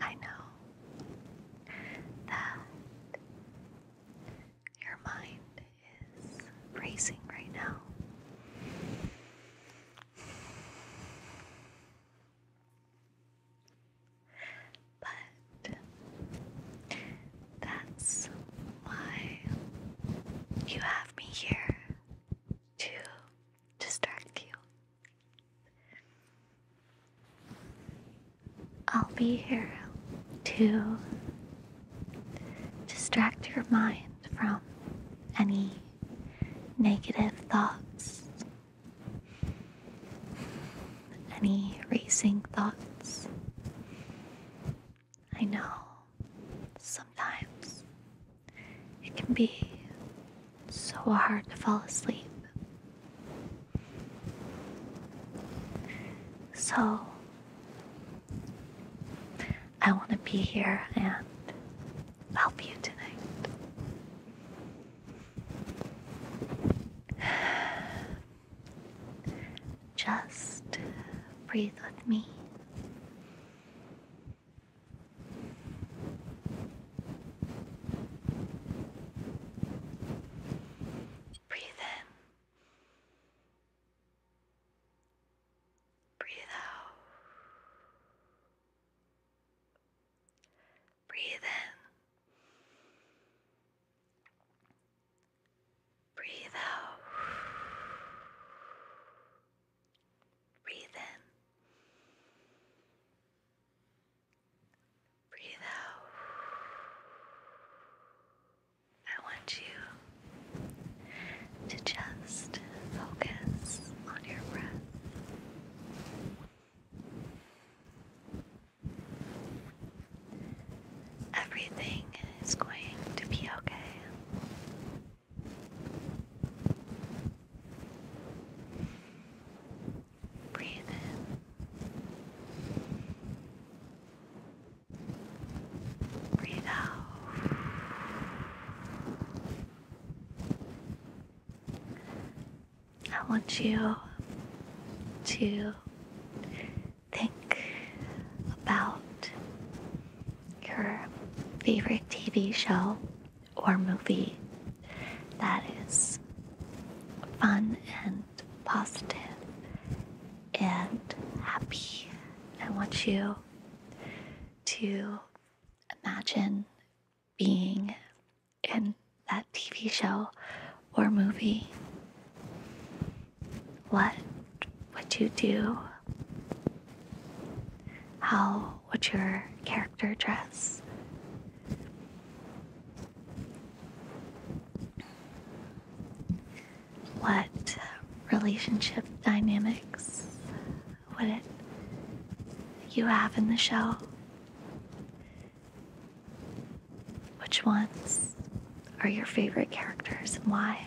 I know that your mind is racing right now. But that's why you have me here to distract you. I'll be here to distract your mind from any negative thoughts any racing thoughts? I know sometimes it can be so hard to fall asleep. So I want to be here and help you tonight. Just breathe with me. Breathe in. Breathe out. Breathe in. Breathe out. Breathe in. Breathe out. I want you to just focus on your breath. Everything is going to be okay. Breathe in. Breathe out. I want you to think about your favorite TV show or movie that is fun and positive and happy. I want you to imagine being in that TV show or movie, what would you do? How would your character dress? What relationship dynamics would you have in the show? Which ones are your favorite characters and why?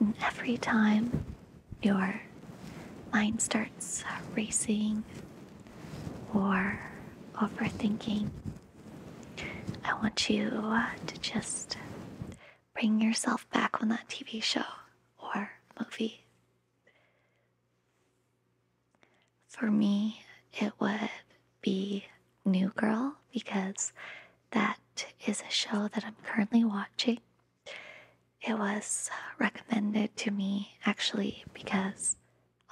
And every time your mind starts racing or overthinking, I want you uh, to just bring yourself back on that TV show or movie for me, it would be New Girl because that is a show that I'm currently watching. It was recommended to me actually because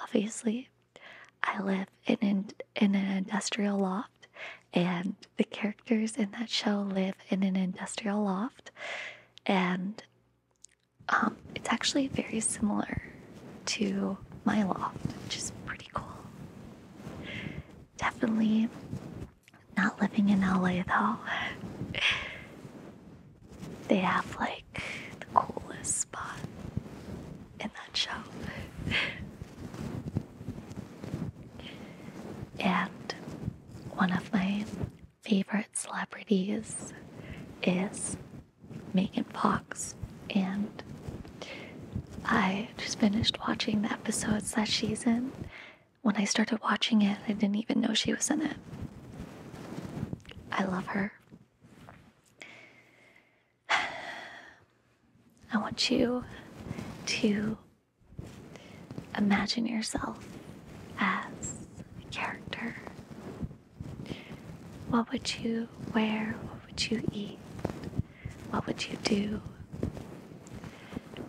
obviously I live in an, industrial loft and the characters in that show live in an industrial loft and um, it's actually very similar to my loft, which is pretty cool. Definitely not living in LA though. They have like the coolest spot in that show. And one of my favorite celebrities is Megan Fox, and I just finished watching the episodes that she's in. When I started watching it, I didn't even know she was in it. I love her. I want you to Imagine yourself as a character. What would you wear? What would you eat? What would you do?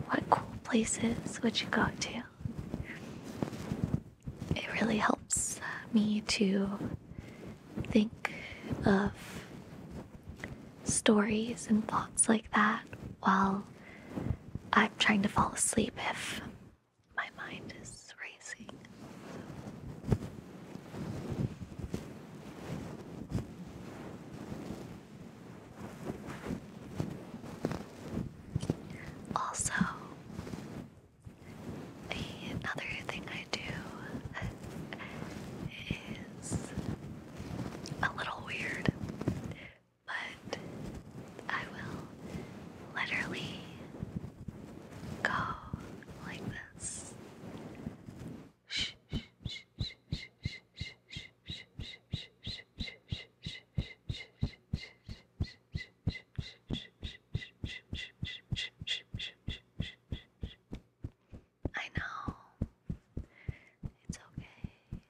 What cool places would you go to? It really helps me to think of stories and thoughts like that while I'm trying to fall asleep if my mind is racing. So. Also, another thing I do is a little weird, but I will literally go like this. I know. It's okay.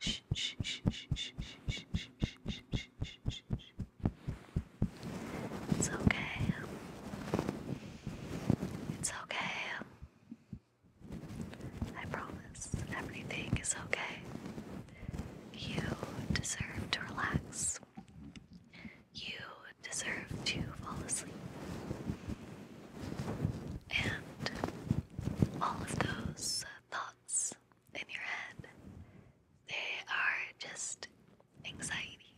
It's okay. It's okay. I promise everything is okay. You deserve to relax. You deserve to fall asleep and all of those thoughts in your head, they are just anxiety,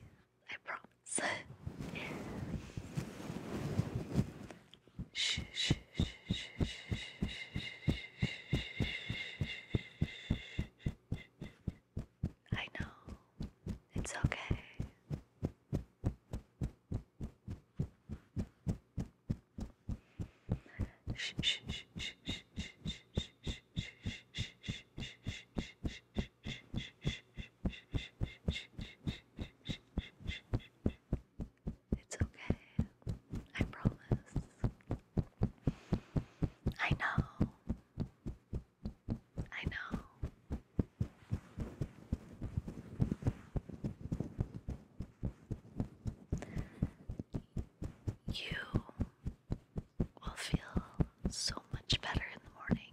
I promise. shh, shh, shh, shh, shh, I know. It's okay. It's okay. I promise. I know. I know. You will feel so much better in the morning.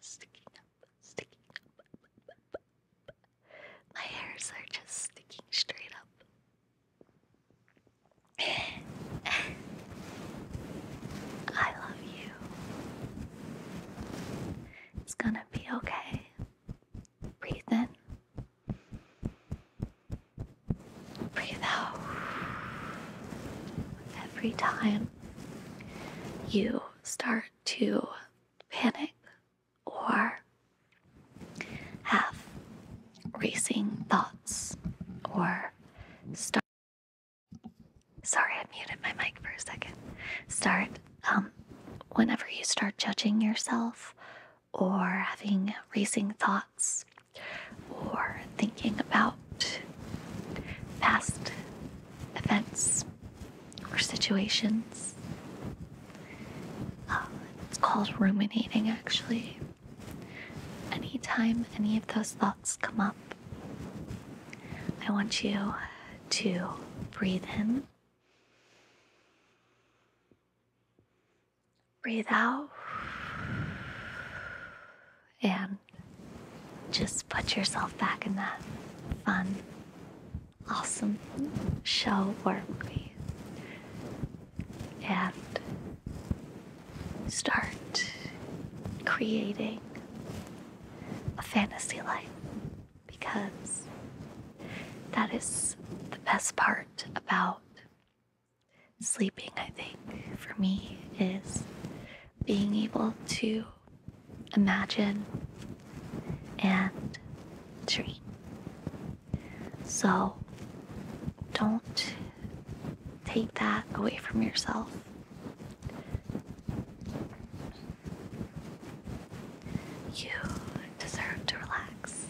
sticking up, sticking up. My hairs are just sticking straight up. I love you. It's gonna be okay. Breathe in. Breathe out. Every time you start to panic or have racing thoughts or start sorry i muted my mic for a second start um, whenever you start judging yourself or having racing thoughts or thinking about past events or situations. Um, it's called ruminating, actually. Anytime any of those thoughts come up, I want you to breathe in, breathe out, and just put yourself back in that fun, awesome show work me and start creating a fantasy life because that is the best part about sleeping, I think, for me is being able to imagine and dream. So don't take that away from yourself. You deserve to relax.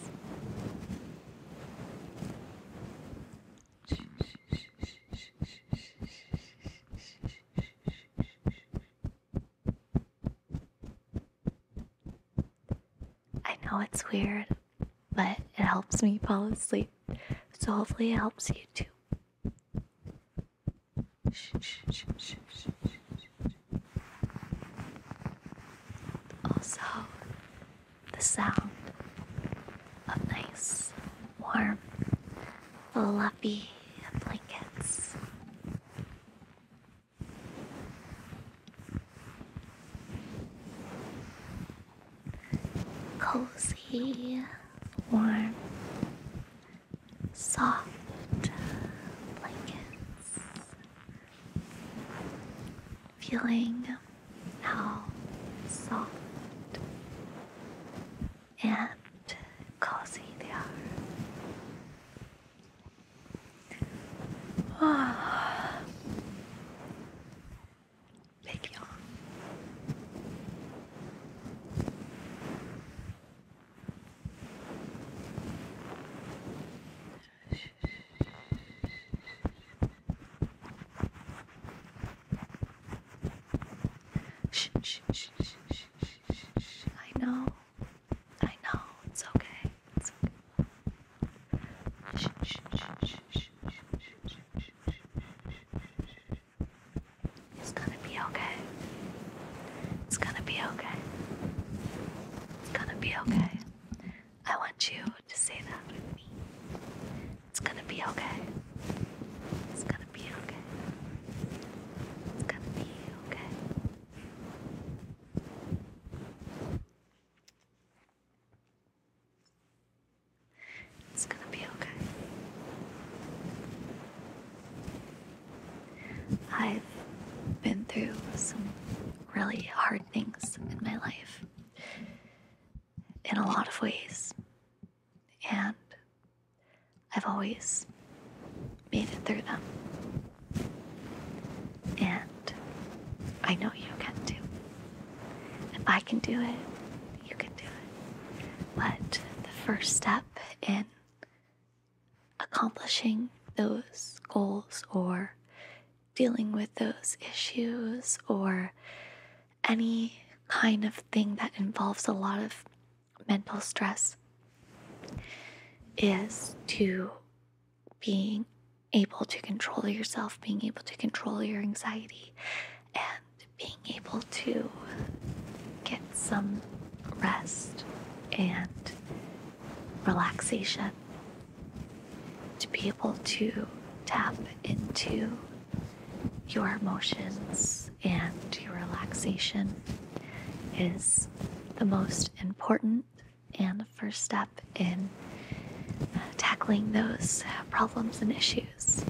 I know it's weird, but it helps me fall asleep. So hopefully it helps you too. Also, the sound of nice, warm, fluffy blankets. Cozy, warm, soft blankets. Feeling how soft and cozy they are. Oh. Big yawn. Shh, shh, shh, shh, shh. I know. I know. It's okay. It's okay. It's gonna be okay. It's gonna be okay. It's gonna be okay. I want you to say that with me. It's gonna be okay. It's gonna gonna be okay. It's gonna be okay. It's gonna be okay. I've been through some really hard things in my life in a lot of ways, and I've always made it through them. And I know you can too. If I can do it, you can do it. But the first step in accomplishing those goals or dealing with those issues or any kind of thing that involves a lot of mental stress is to being able to control yourself, being able to control your anxiety, and being able to get some rest and relaxation. To be able to tap into your emotions and your relaxation is the most important and the first step in uh, tackling those uh, problems and issues.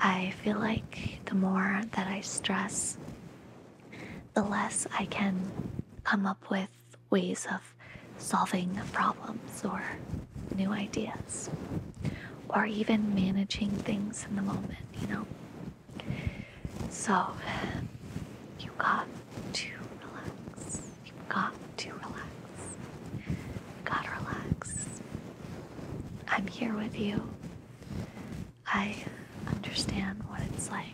I feel like the more that I stress, the less I can come up with ways of solving problems or new ideas or even managing things in the moment, you know? So, you've got to relax. You've got to relax. you got to relax. I'm here with you. I understand what it's like.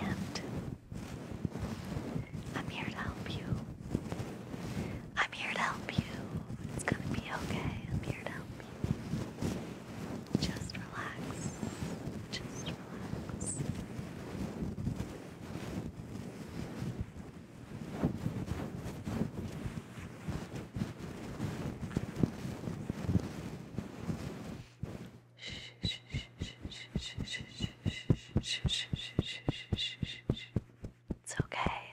And I'm here to help you. I'm here to help you. It's gonna be okay. I'm here to help you. Just relax. Just relax. It's okay.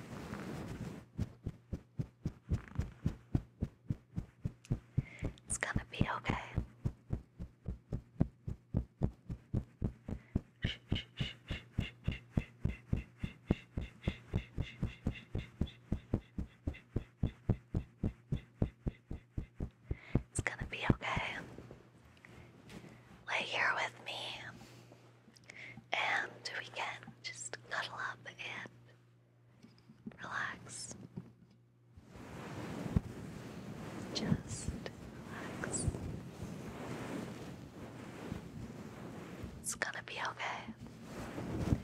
It's gonna be okay. It's gonna be okay. Lay here with me and we can just cuddle up and relax. Just relax. It's gonna be okay.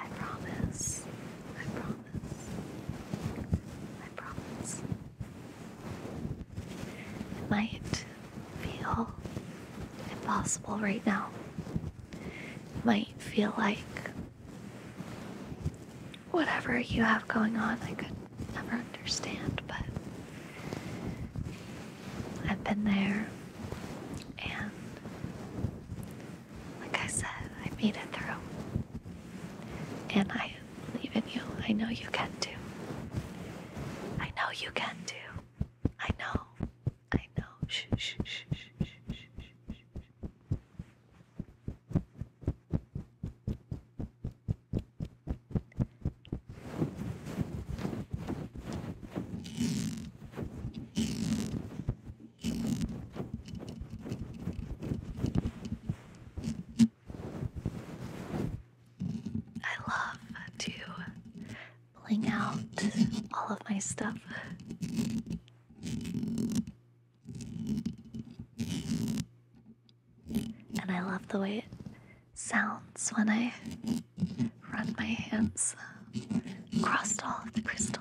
I promise. I promise. I promise. It might feel impossible right now. It might feel like whatever you have going on, I could never understand, but I've been there and like I said, I made it through. And I believe in you. I know you can too. I know you can do. I know. I know. Shh, shh, shh, shh, shh, shh, shh, shh. I love to bling out all of my stuff. And I love the way it sounds when I run my hands across all of the crystals.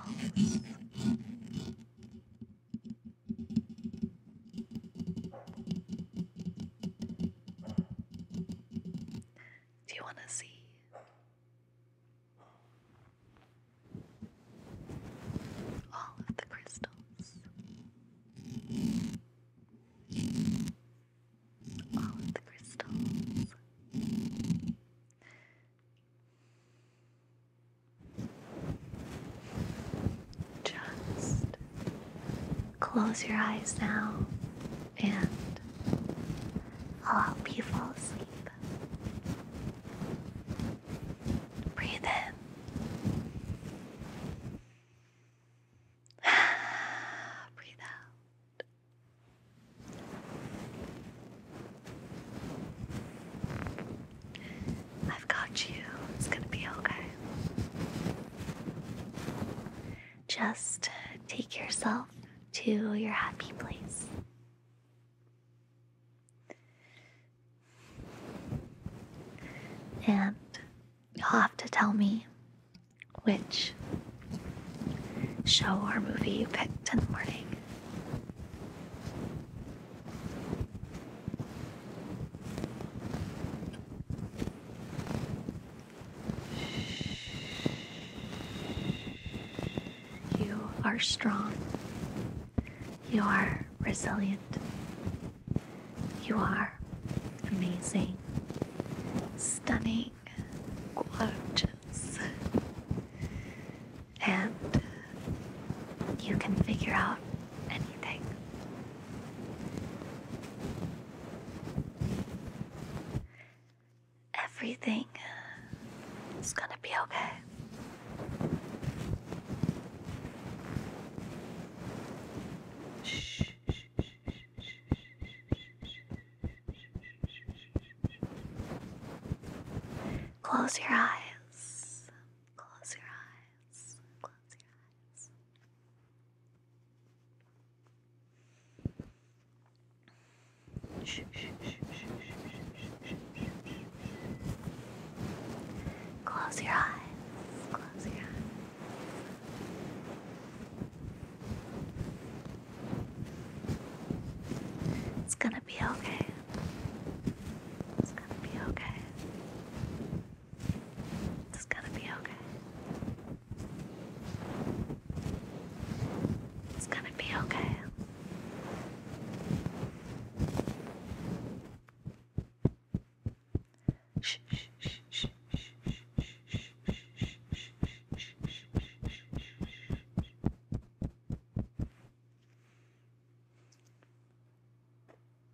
Do you want to see? All of the crystals, all of the crystals. Just close your eyes now and I'll help you fall asleep. Breathe in. Breathe out. I've got you. It's going to be okay. Just take yourself to your happy place. And you'll have to tell me which show or movie you picked in the morning. You are strong. You are resilient. You are amazing, stunning, gorgeous. And you can figure out anything. Everything is gonna be okay. Shh. Close your eyes. Close your eyes. Close your eyes. Close your eyes. Close your eyes. It's gonna be okay. It's gonna be okay. It's gonna be okay. It's gonna be okay. Shh, shh, shh, shh, shh, shh,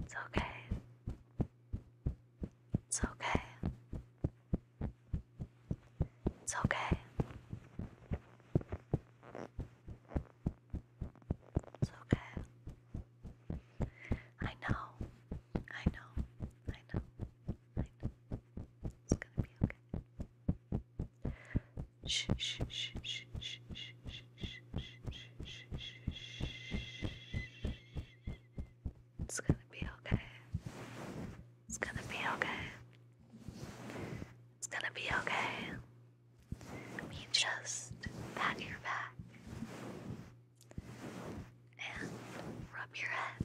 It's okay. It's okay. It's okay. It's okay. It's okay. I know. I know. I know. It's gonna be okay. Shh, shh, shh, shh, shh, shh, shh, shh, shh, It's gonna be okay. It's gonna be okay. It's gonna be okay. We just pat your back and rub your head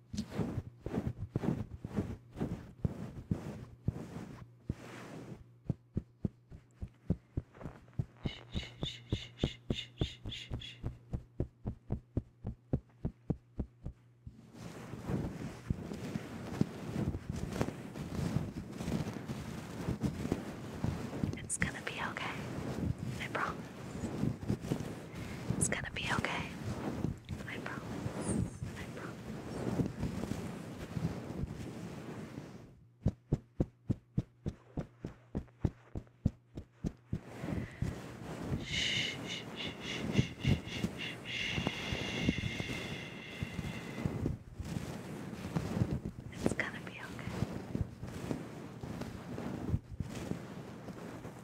It's gonna be okay. I promise. It's gonna be okay. I promise. I promise. Shh, shh, shh, shh, shh, shh, shh. It's gonna be okay.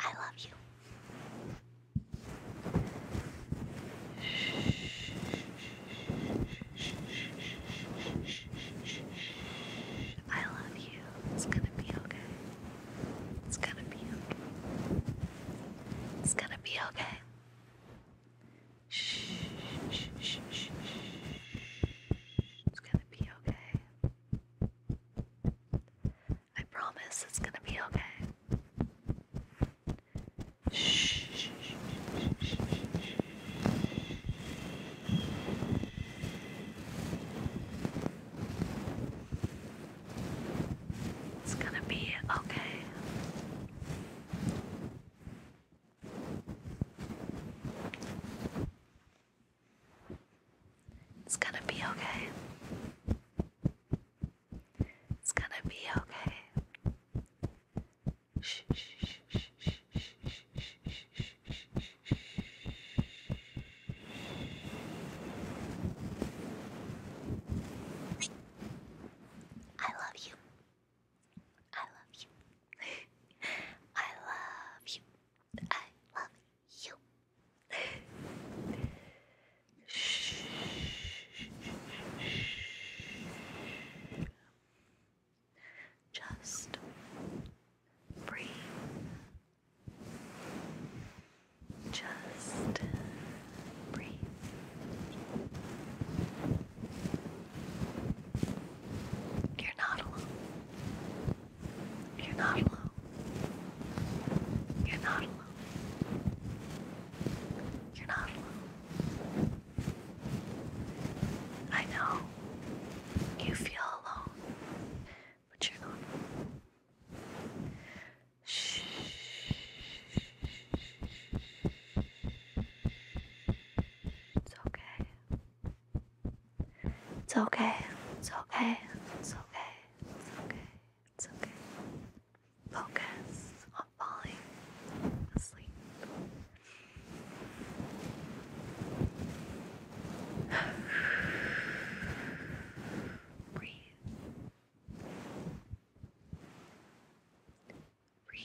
I love you. I love you. It's gonna be okay. It's gonna be okay. It's gonna be okay. It's gonna be okay. I promise it's gonna be okay. Shh. It's gonna be okay. It's gonna be okay. It's gonna be okay. Shh, shh, shh, shh, shh, shh, shh, shh, shh, shh. I love you. I love you. I love you. I love you. Just breathe. Just breathe. You're not alone. You're not alone. You're not alone. You're not alone. I know you feel alone, but you're not alone. Shh. It's okay. It's okay. It's okay. It's okay. It's okay. It's okay. Focus on falling asleep. Breathe. Breathe.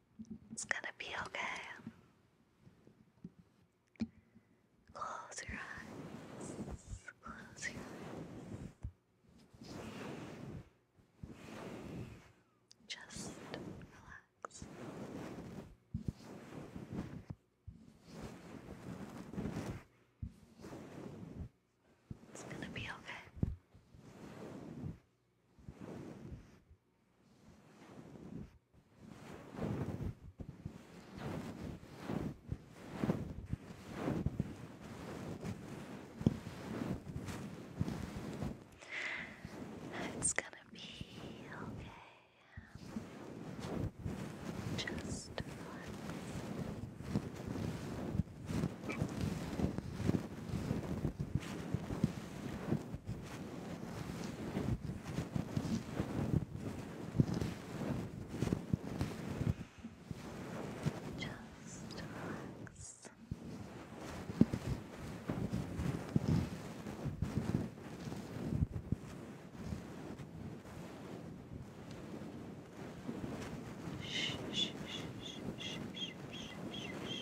It's gonna be okay. Close your eyes. Close your eyes. Just relax. It's gonna be okay. It's gonna be okay. Just relax. Just relax. Shh, shh, shh, shh, shh, shh, shh, shh, shh.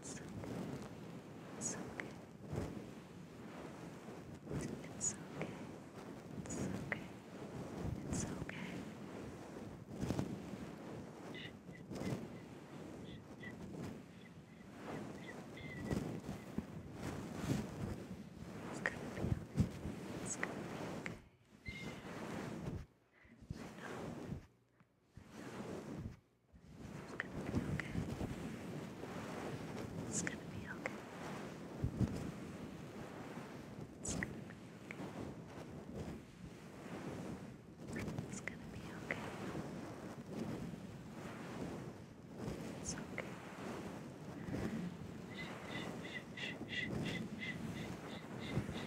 It's okay. It's okay. It's okay. It's okay. It's okay. It's gonna be okay. It's gonna be okay. I know. It's gonna be okay. It's gonna be okay. It's gonna be okay. It's gonna be okay. It's okay. Shh, shh, shh, shh, shh, shh, shh, shh, shh, shh.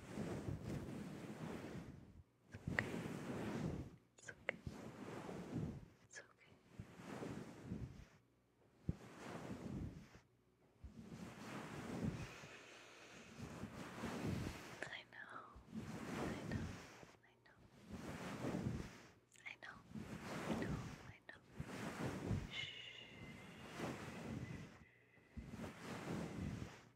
okay. It's okay. It's okay. I know. I know. I know. I know. I know. I know. Shh.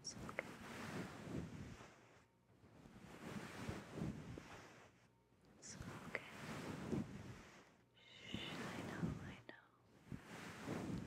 It's okay. It's okay. Shh, I know, I know. Shh.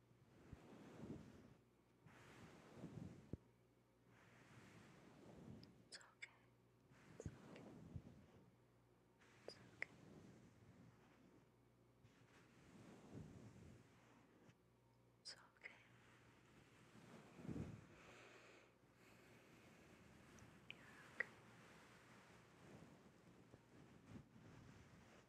It's okay. It's okay. It's okay. It's okay. you okay.